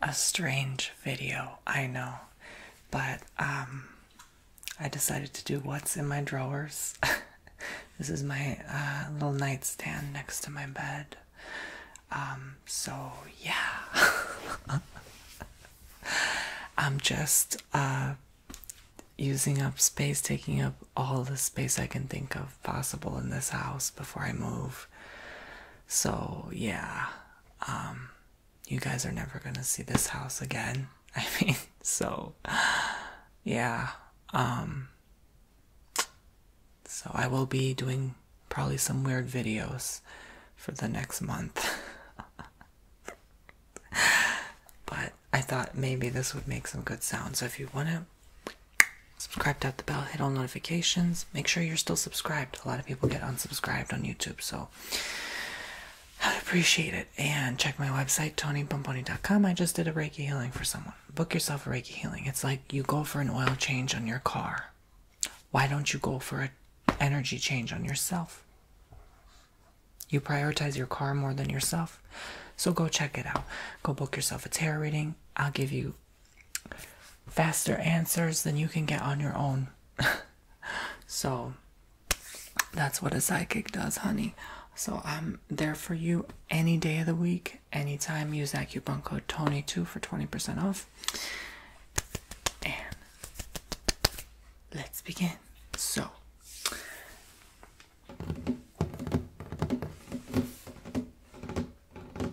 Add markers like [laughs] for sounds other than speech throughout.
A strange video, I know, but um, I decided to do what's in my drawers. [laughs] this is my uh, little nightstand next to my bed. Um, so yeah, [laughs] I'm just uh, using up space, taking up all the space I can think of possible in this house before I move. So, yeah. Um you guys are never going to see this house again. [laughs] I mean, so yeah. Um so I will be doing probably some weird videos for the next month. [laughs] but I thought maybe this would make some good sound. So if you want to Subscribe, to the bell, hit all notifications. Make sure you're still subscribed. A lot of people get unsubscribed on YouTube, so I'd appreciate it. And check my website, tonypomponi.com. I just did a Reiki healing for someone. Book yourself a Reiki healing. It's like you go for an oil change on your car. Why don't you go for an energy change on yourself? You prioritize your car more than yourself. So go check it out. Go book yourself a tarot reading. I'll give you faster answers than you can get on your own. [laughs] so that's what a psychic does, honey. So I'm there for you any day of the week, anytime. Use that Tony2 for 20% off. And let's begin. So well,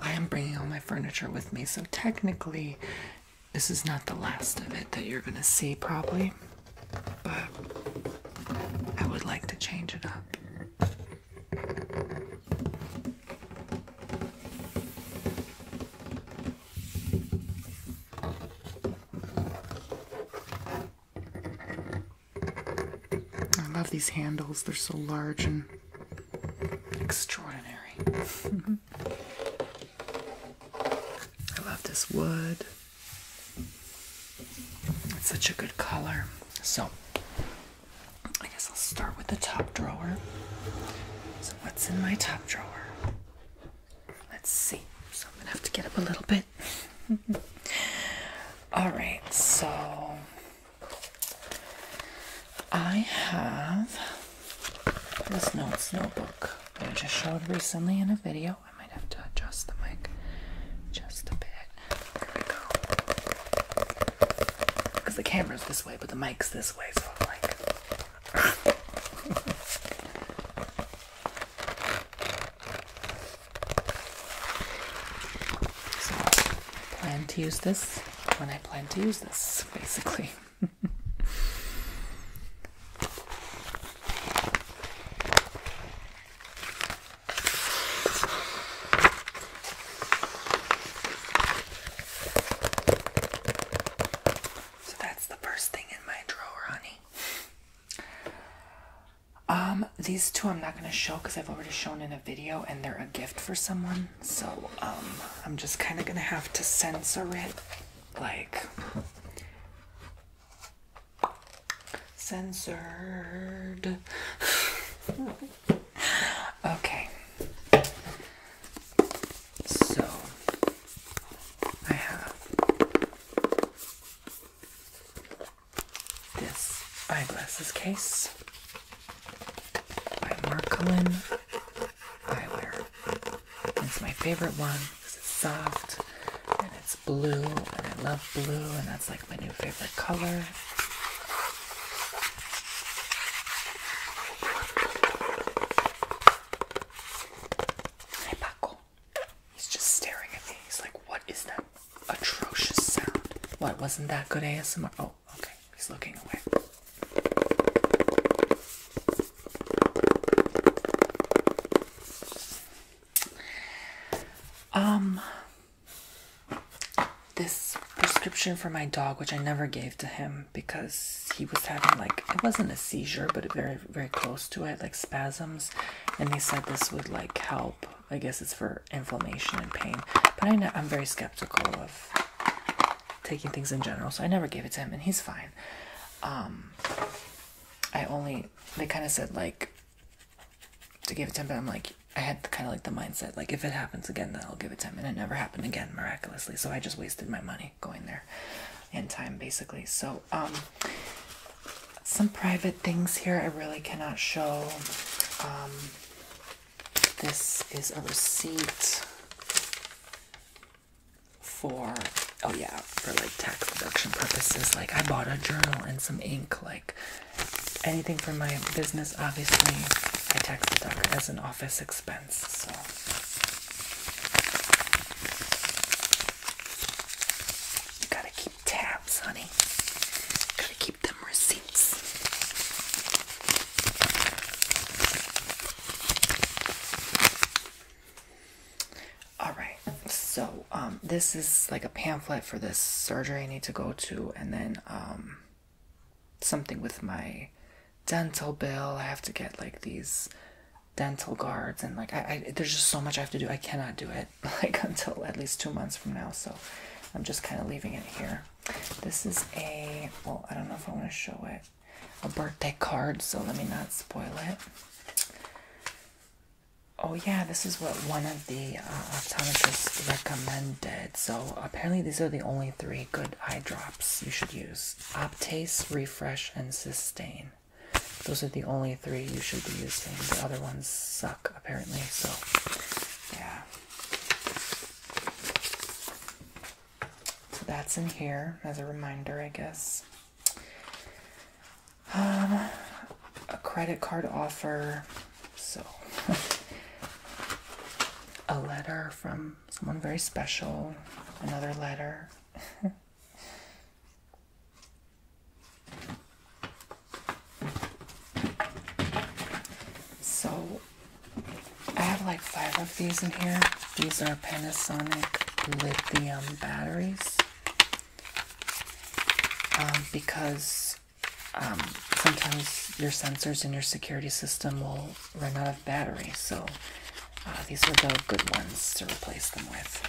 I am bringing all my furniture with me, so technically, this is not the last of it that you're gonna see, probably. But I would like to change it up. I love these handles, they're so large and extraordinary. [laughs] I love this wood. It's such a good color. So, I guess I'll start with the top drawer. So, what's in my top drawer? Let's see. So, I'm gonna have to get up a little bit. [laughs] All right, so I have this notes notebook I just showed recently in a video. I might have to adjust the mic just a bit. Because the camera's this way, but the mic's this way, so I'm like. [laughs] [laughs] So I plan to use this when I plan to use this, [laughs] basically. So that's the first thing in my drawer, honey. Um, these two I'm not going to show because I've already shown in a video and they're a gift for someone. So, um, I'm just kind of going to have to censor it. Like, censored. [laughs] okay. So, I have this eyeglasses case by Marcolin Eyewear. It's my favorite one because it's soft and it's blue, and I love blue, and that's like my new favorite color. Hi, Paco. He's just staring at me. He's like, what is that atrocious sound? What, wasn't that good ASMR? Oh, okay. He's looking away. Um, this prescription for my dog, which I never gave to him because he was having like it wasn't a seizure, but very, very close to it, like spasms. And they said this would like help I guess it's for inflammation and pain. But I know I'm very skeptical of taking things in general, so I never gave it to him, and he's fine. Um, I only they kind of said like to give it to him, but I'm like I had kind of like the mindset like if it happens again, then I'll give it to him, and it never happened again miraculously. So I just wasted my money going there in time basically. So um, some private things here I really cannot show. Um, this is a receipt for oh yeah for like tax deduction purposes like i bought a journal and some ink like anything for my business obviously i tax deduct as an office expense so gotta keep tabs, honey. got keep them receipts. Alright, so um, this is like a pamphlet for this surgery I need to go to and then um, something with my dental bill. I have to get like these dental guards and like I, I there's just so much I have to do. I cannot do it. [laughs] like until at least two months from now, so I'm just kind of leaving it here. This is a well, I don't know if I want to show it a birthday card, so let me not spoil it. Oh, yeah, this is what one of the uh, optometrists recommended. So, apparently, these are the only three good eye drops you should use Optase, Refresh, and Sustain. Those are the only three you should be using. The other ones suck, apparently, so yeah. So that's in here as a reminder, I guess. Um, a credit card offer, so [laughs] a letter from someone very special, another letter. [laughs] So I have like five of these in here. These are Panasonic lithium batteries. Um, because um, sometimes your sensors in your security system will run out of battery. So uh, these are the good ones to replace them with.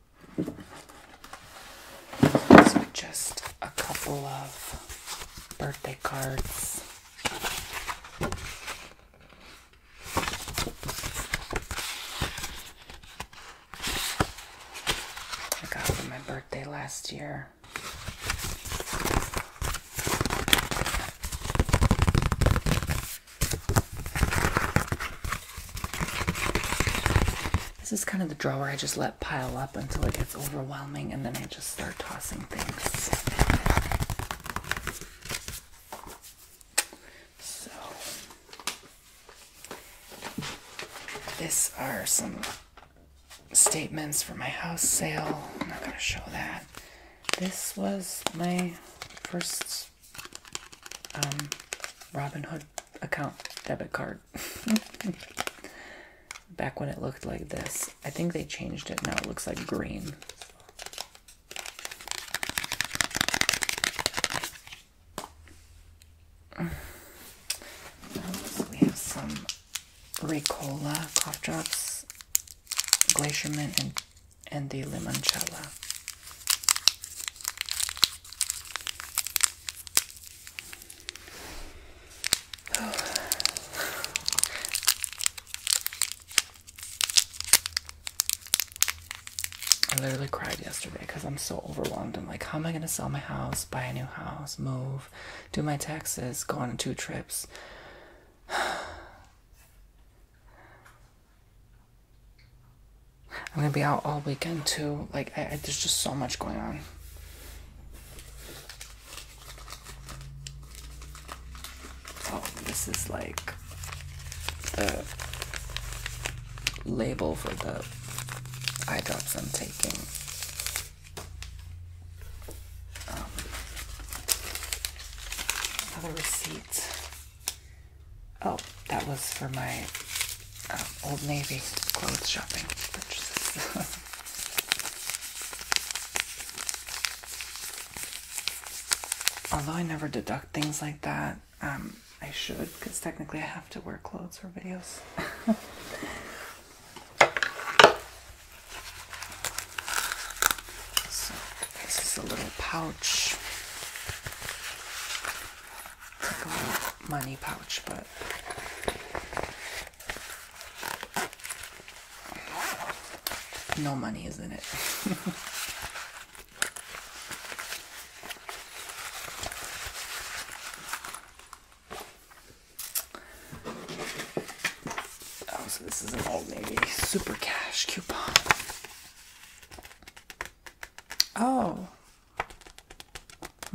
just a couple of birthday cards. I got for my birthday last year. This is kind of the drawer I just let pile up until it gets overwhelming and then I just start tossing things. So, this are some statements for my house sale. I'm not going to show that. This was my first um, Robinhood account debit card. [laughs] Back when it looked like this. I think they changed it. Now it looks like green. [sighs] We have some Ricola cough drops, Glacier Mint, and the Limoncello. I literally cried yesterday because I'm so overwhelmed. I'm like, how am I going to sell my house, buy a new house, move, do my taxes, go on two trips? I'm gonna be out all weekend too. Like, I, there's just so much going on. Oh, this is like the label for the eye drops I'm taking. Um, another receipt. Oh, that was for my um, Old Navy clothes shopping purchases. [laughs] Although I never deduct things like that, um, I should because technically I have to wear clothes for videos. [laughs] so this is a little pouch money pouch, but no money is in it. [laughs] oh, so this is an old navy super cash coupon. Oh,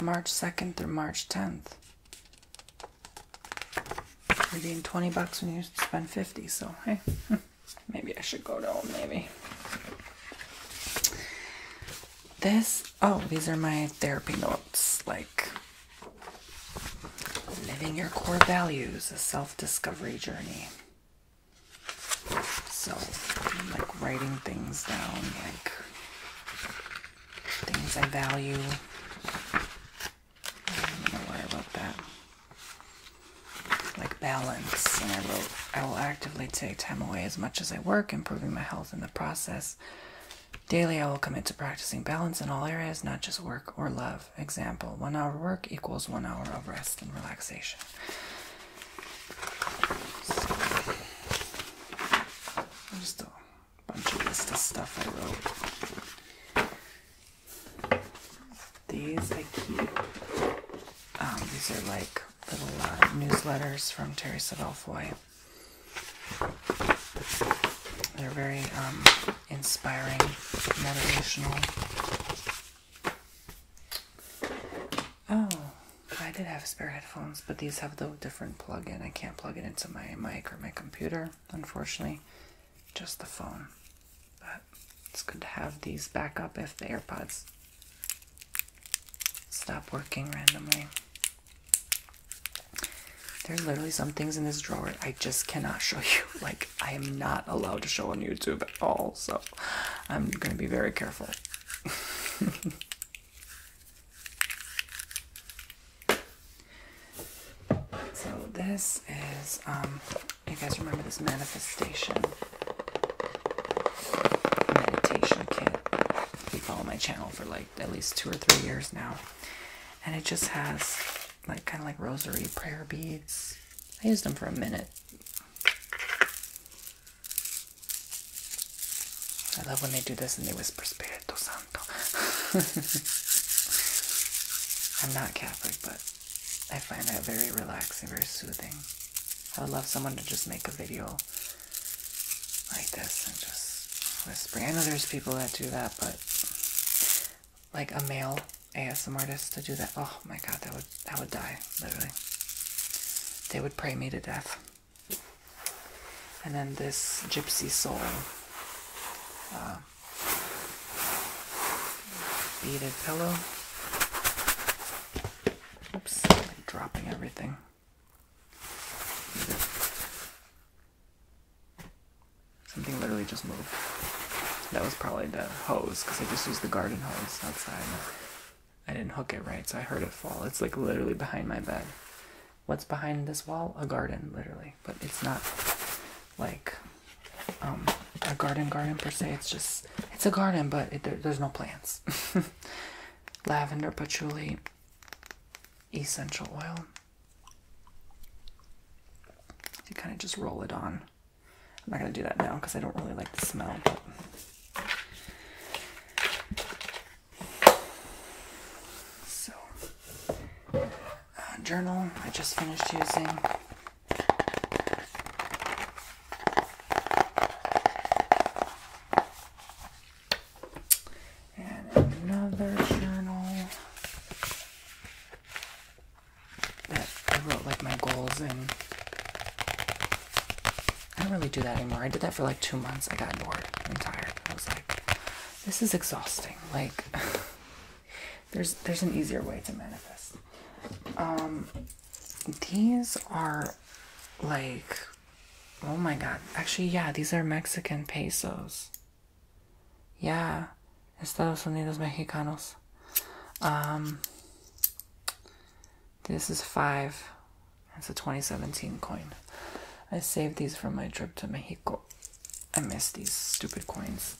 March 2nd through March 10th. You're getting 20 bucks when you spend 50, so hey, [laughs] maybe I should go to Old Navy. This, oh, these are my therapy notes, like living your core values, a self-discovery journey. So I'm like writing things down, like things I value. I don't worry about that. Like balance. And I wrote, I will actively take time away as much as I work, improving my health in the process. Daily, I will commit to practicing balance in all areas, not just work or love. Example, one hour work equals one hour of rest and relaxation just a bunch of list of stuff I wrote. These I keep. Um, these are like little uh, newsletters from Terry Savelfoy. They're very um, inspiring, motivational. Oh, I did have spare headphones, but these have the different plug-in. I can't plug it into my mic or my computer, unfortunately. Just the phone. But it's good to have these back up if the AirPods stop working randomly. There's literally some things in this drawer I just cannot show you. [laughs] Like, I am not allowed to show on YouTube at all, so I'm gonna be very careful. [laughs] so this is, um, you guys remember this manifestation meditation kit? If You follow my channel for like at least two or three years now, and it just has like kind of like rosary prayer beads. I used them for a minute. I love when they do this and they whisper Spirito Santo. [laughs] I'm not Catholic, but I find that very relaxing, very soothing. I would love someone to just make a video like this and just whisper. I know there's people that do that, but like a male ASMR artist to do that, oh my god, that would that would die, literally. They would pray me to death. And then this gypsy soul uh, beaded pillow. Oops, dropping everything. Something literally just moved. That was probably the hose, because I just used the garden hose outside. I didn't hook it right, so I heard it fall. It's like literally behind my bed. What's behind this wall? A garden, literally. But it's not like um, a garden garden per se. It's just, it's a garden, but there's no plants. [laughs] Lavender, patchouli, essential oil. You kind of just roll it on. I'm not going to do that now because I don't really like the smell. So, uh, journal I just finished using. And another journal that I wrote like my goals in. I don't really do that anymore. I did that for like two months. I got bored I'm tired. I was like, this is exhausting. Like, [laughs] there's there's an easier way to manifest. Um, these are like, oh my god. Actually, yeah, these are Mexican pesos. Yeah, Estados Unidos Mexicanos. Um, this is five. It's a 2017 coin. I saved these from my trip to Mexico. I miss these stupid coins.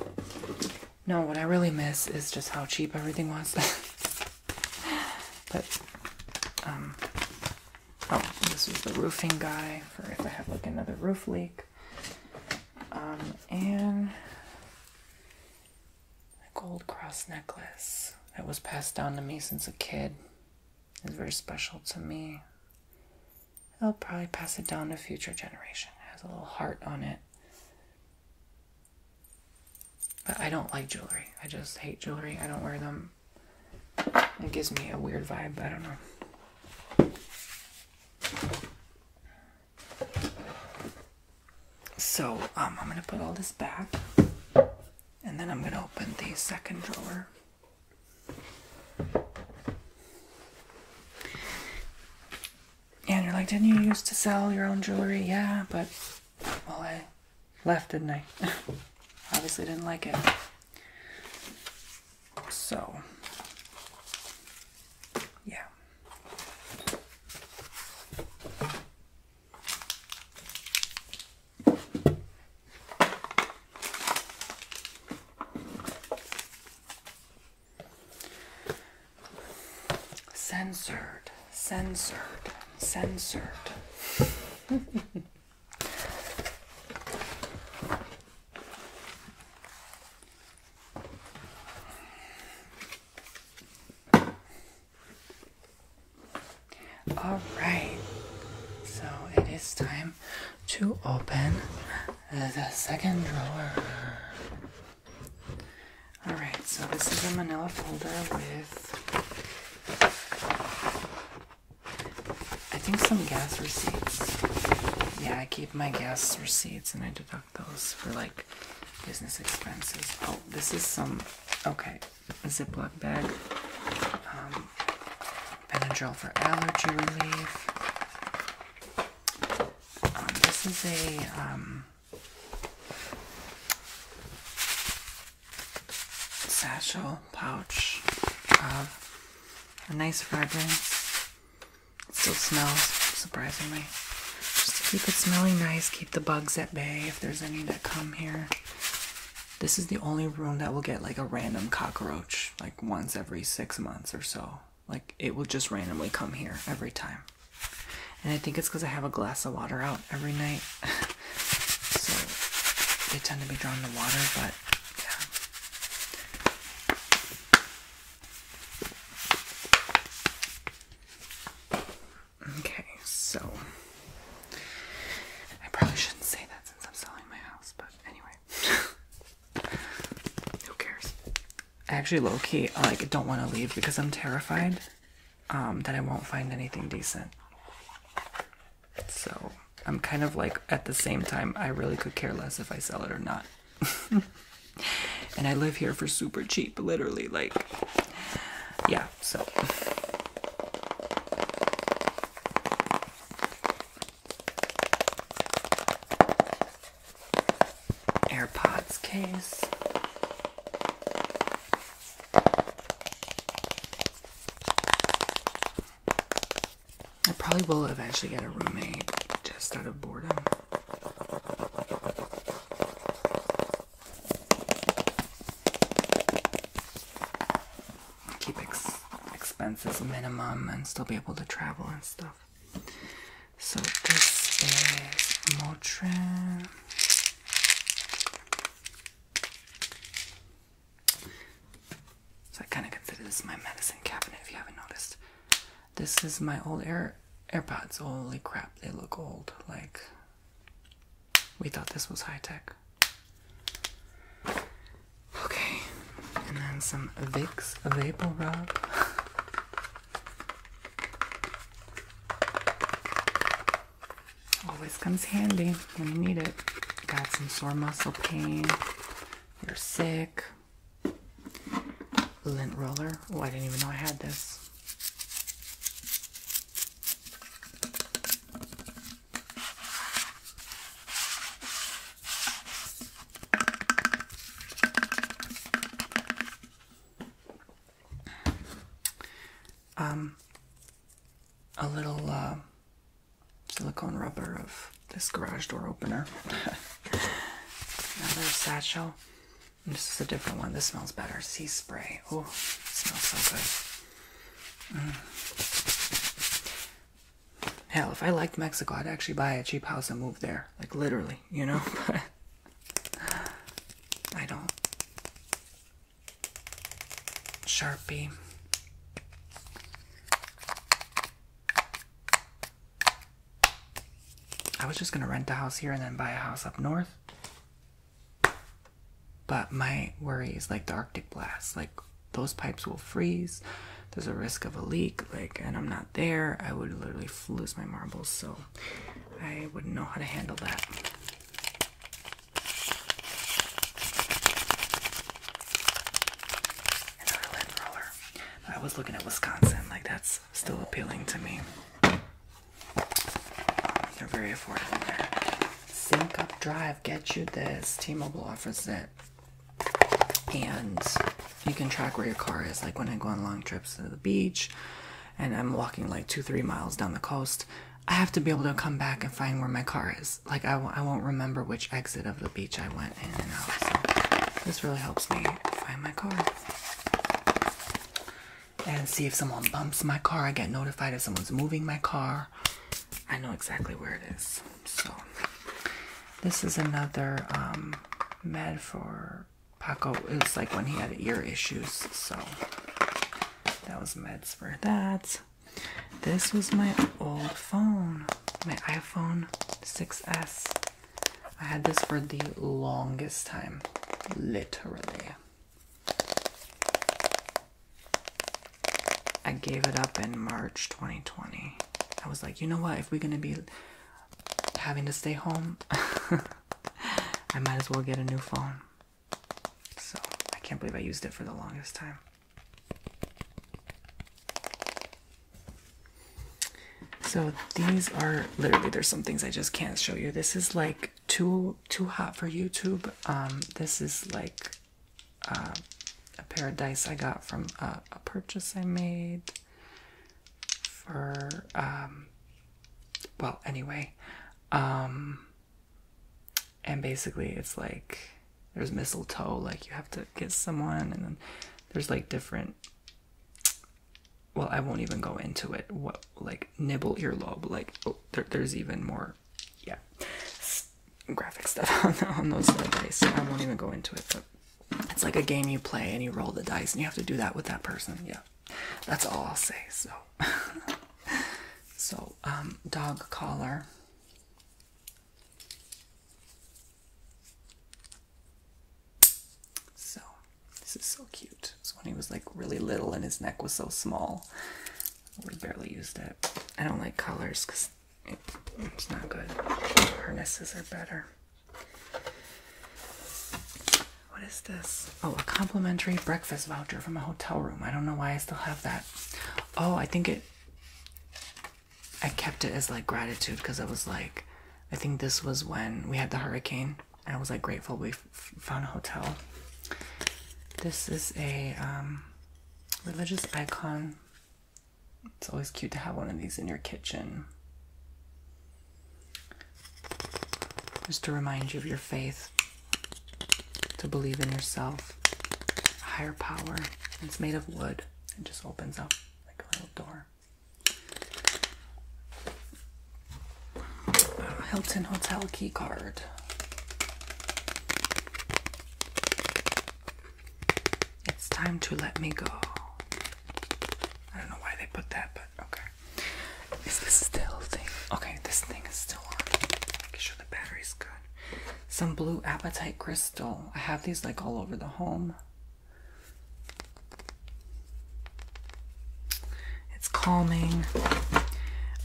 [laughs] no, what I really miss is just how cheap everything was. [laughs] but, um, oh, this is the roofing guy for if I have like another roof leak. Um, and a gold cross necklace that was passed down to me since a kid. It's very special to me. I'll probably pass it down to future generation. It has a little heart on it. But I don't like jewelry. I just hate jewelry. I don't wear them. It gives me a weird vibe. I don't know. So um, I'm going to put all this back and then I'm going to open the second drawer. And you're like, didn't you used to sell your own jewelry? Yeah, but well, I left, didn't I? [laughs] Obviously didn't like it. So, yeah. Censored, censored, censored. All right, so it is time to open the second drawer. All right, so this is a manila folder with I think some gas receipts. Yeah, I keep my gas receipts and I deduct those for like business expenses. Oh, this is some okay, a Ziploc bag. Um, Benadryl for allergy relief. Um, this is a um, satchel pouch of a nice fragrance. It still smells surprisingly. Just to keep it smelling nice, keep the bugs at bay if there's any that come here. This is the only room that will get like a random cockroach, like once every six months or so. Like it will just randomly come here every time. And I think it's because I have a glass of water out every night. [laughs] so they tend to be drawn to water, but yeah. Okay, so I probably shouldn't say that since I'm selling my house, but anyway. [laughs] Who cares? I Actually low key, I like don't want to leave because I'm terrified um, that I won't find anything decent. So I'm kind of like at the same time I really could care less if I sell it or not. [laughs] And I live here for super cheap, literally. Like, yeah, so. AirPods case. I probably will eventually get a roommate just out of boredom. Keep ex expenses minimum and still be able to travel and stuff. So this is Motrin. So I kind of consider this my medicine cabinet if you haven't noticed. This is my old Air AirPods. Holy crap, they look old. Like we thought this was high tech. Okay, and then some Vicks Vapor Rub. Always comes handy when you need it. Got some sore muscle pain. You're sick lint roller. Oh, I didn't even know I had this. Um, a little uh, silicone rubber of this garage door opener. [laughs] Another satchel this is a different one. This smells better. Sea spray. Oh, smells so good. Mm. Hell, if I liked Mexico, I'd actually buy a cheap house and move there. Like literally, you know? [laughs] I don't. Sharpie. I was just gonna rent a house here and then buy a house up north. But my worry is like the Arctic blast. Like those pipes will freeze. There's a risk of a leak. Like, and I'm not there. I would literally lose my marbles. So I wouldn't know how to handle that. Another roller. I was looking at Wisconsin. Like that's still appealing to me. They're very affordable there. Sync Up Drive, get you this. T-Mobile offers it. And you can track where your car is. Like when I go on long trips to the beach and I'm walking like two, three miles down the coast, I have to be able to come back and find where my car is. Like I, won't remember which exit of the beach I went in and out. So this really helps me find my car and see if someone bumps my car. I get notified if someone's moving my car. I know exactly where it is. So, this is another um, med for Paco. It was like when he had ear issues. So, that was meds for that. This was my old phone, my iPhone 6S. I had this for the longest time, literally. I gave it up in March 2020. I was like, you know what? If we're gonna be having to stay home, [laughs] I might as well get a new phone. So I can't believe I used it for the longest time. So these are literally there's some things I just can't show you. This is like too too hot for YouTube. Um, this is like uh, a pair of dice I got from a purchase I made for um, well anyway, um, and basically it's like there's mistletoe like you have to kiss someone and then there's like different well i won't even go into it what like nibble earlobe like oh, there's even more yeah graphic stuff [laughs] on, on those dice i won't even go into it but it's like a game you play and you roll the dice and you have to do that with that person yeah that's all i'll say so [laughs] so um dog collar so, this is so cute. It's when he was like really little and his neck was so small. We barely used it. I don't like colors because it's not good. Harnesses are better. What is this? Oh, a complimentary breakfast voucher from a hotel room. I don't know why I still have that. Oh, I think it. I kept it as like gratitude because I was like, I think this was when we had the hurricane I was like grateful we found a hotel. This is a um, religious icon. It's always cute to have one of these in your kitchen. Just to remind you of your faith, to believe in yourself, higher power. It's made of wood. It just opens up like a little door. Hilton Hotel key card. It's time to let me go. I don't know why they put that, but okay. Is this still thing? Okay, this thing is still on. Make sure the battery's good. Some blue appetite crystal. I have these like all over the home. It's calming.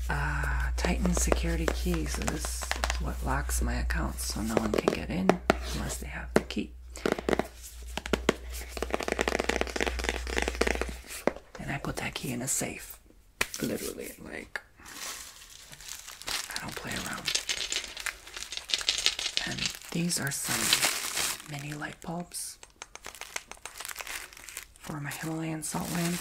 Uh, Titan security keys is what locks my account so no one can get in unless they have the key. And I put that key in a safe. Literally, like, I don't play around. And these are some mini light bulbs for my Himalayan salt lamp.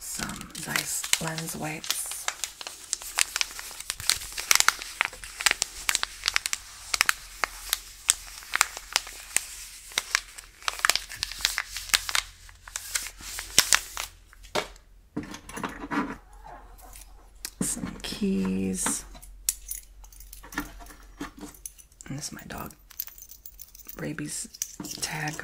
Some nice lens wipes. Some keys. And this is my dog. Rabies tag.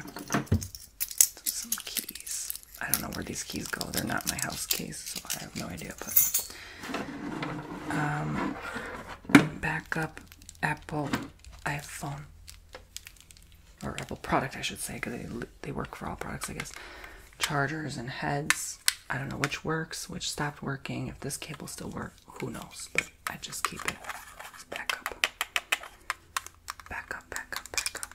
Some keys. I don't know where these keys go. They're not my house keys, so I have no idea, but um backup Apple iPhone or Apple product, I should say, because they, they work for all products, I guess. Chargers and heads. I don't know which works, which stopped working. If this cable still works, who knows? But I just keep it backup. Backup, backup, backup.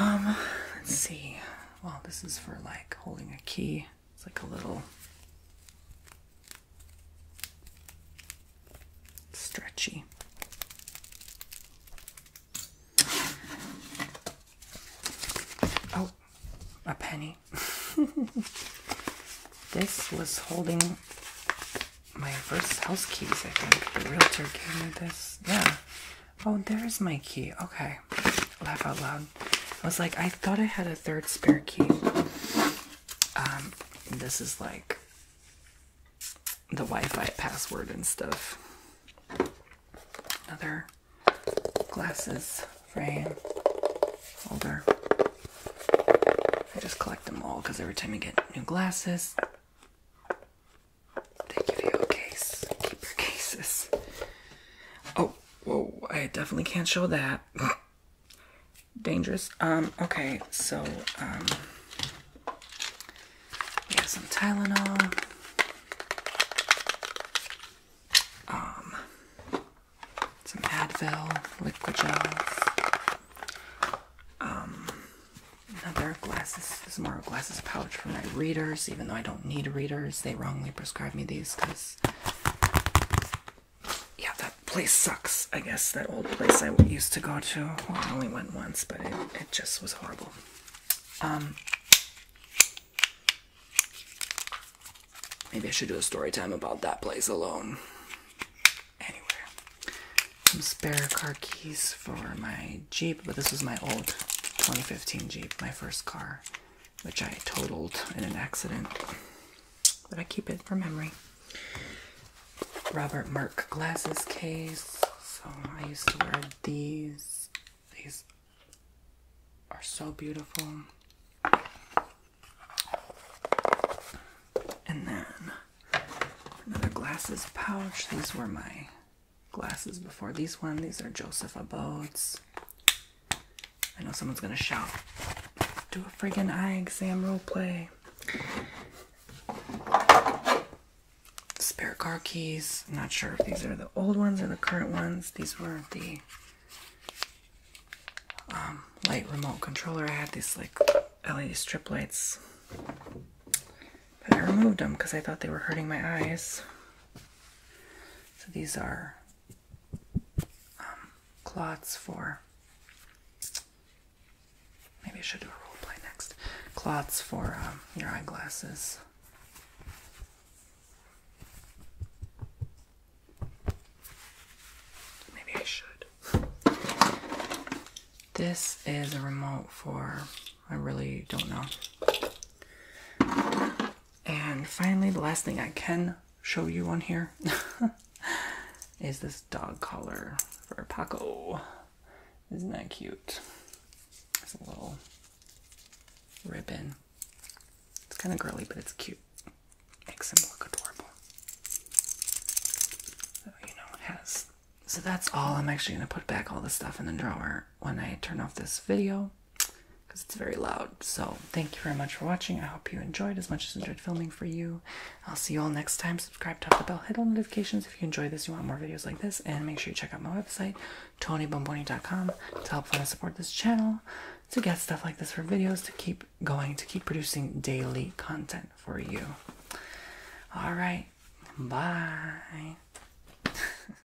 Um, let's see well, this is for like holding a key. It's like a little stretchy. Oh, a penny. [laughs] this was holding my first house keys, I think. The realtor gave me this. Yeah. Oh, there's my key. Okay. Laugh out loud. I was like, I thought I had a third spare key. Um, this is like the Wi-Fi password and stuff. Other glasses frame holder. I just collect them all because every time you get new glasses, they you a case. Keep your cases. Oh, whoa, I definitely can't show that. [laughs] Dangerous. Um, okay, so, um, we have some Tylenol. Um, some Advil, liquid gels. Um, another glass. This is more glasses pouch for my readers, even though I don't need readers. They wrongly prescribed me these because, yeah, that place sucks. I guess that old place I used to go to. I only went once, but it, it just was horrible. Um, maybe I should do a story time about that place alone. Anyway, some spare car keys for my Jeep, but this was my old 2015 Jeep, my first car which I totaled in an accident, but I keep it for memory. Robert Merck glasses case. So I used to wear these. These are so beautiful. And then another glasses pouch. These were my glasses before these one. These are Joseph Abodes. I know someone's gonna shout. Do a friggin' eye exam role play. Spare car keys. not sure if these are the old ones or the current ones. These were the um, light remote controller. I had these like LED strip lights. But I removed them because I thought they were hurting my eyes. So these are um, cloths for. Maybe I should do a role play next. Cloths for um, your eyeglasses. Maybe I should. This is a remote for. I really don't know. And finally, the last thing I can show you on here [laughs] is this dog collar for Paco. Isn't that cute? It's a little ribbon. It's kind of girly, but it's cute. Makes him look adorable. So, you know, has. So that's all. I'm actually going to put back all the stuff in the drawer when I turn off this video because it's very loud. So, thank you very much for watching. I hope you enjoyed as much as I enjoyed filming for you. I'll see you all next time. Subscribe, tap the bell, hit all notifications if you enjoy this, you want more videos like this, and make sure you check out my website, tonybomboni.com, to help fund and support this channel, to get stuff like this for videos, to keep going, to keep producing daily content for you. All right, bye. [laughs]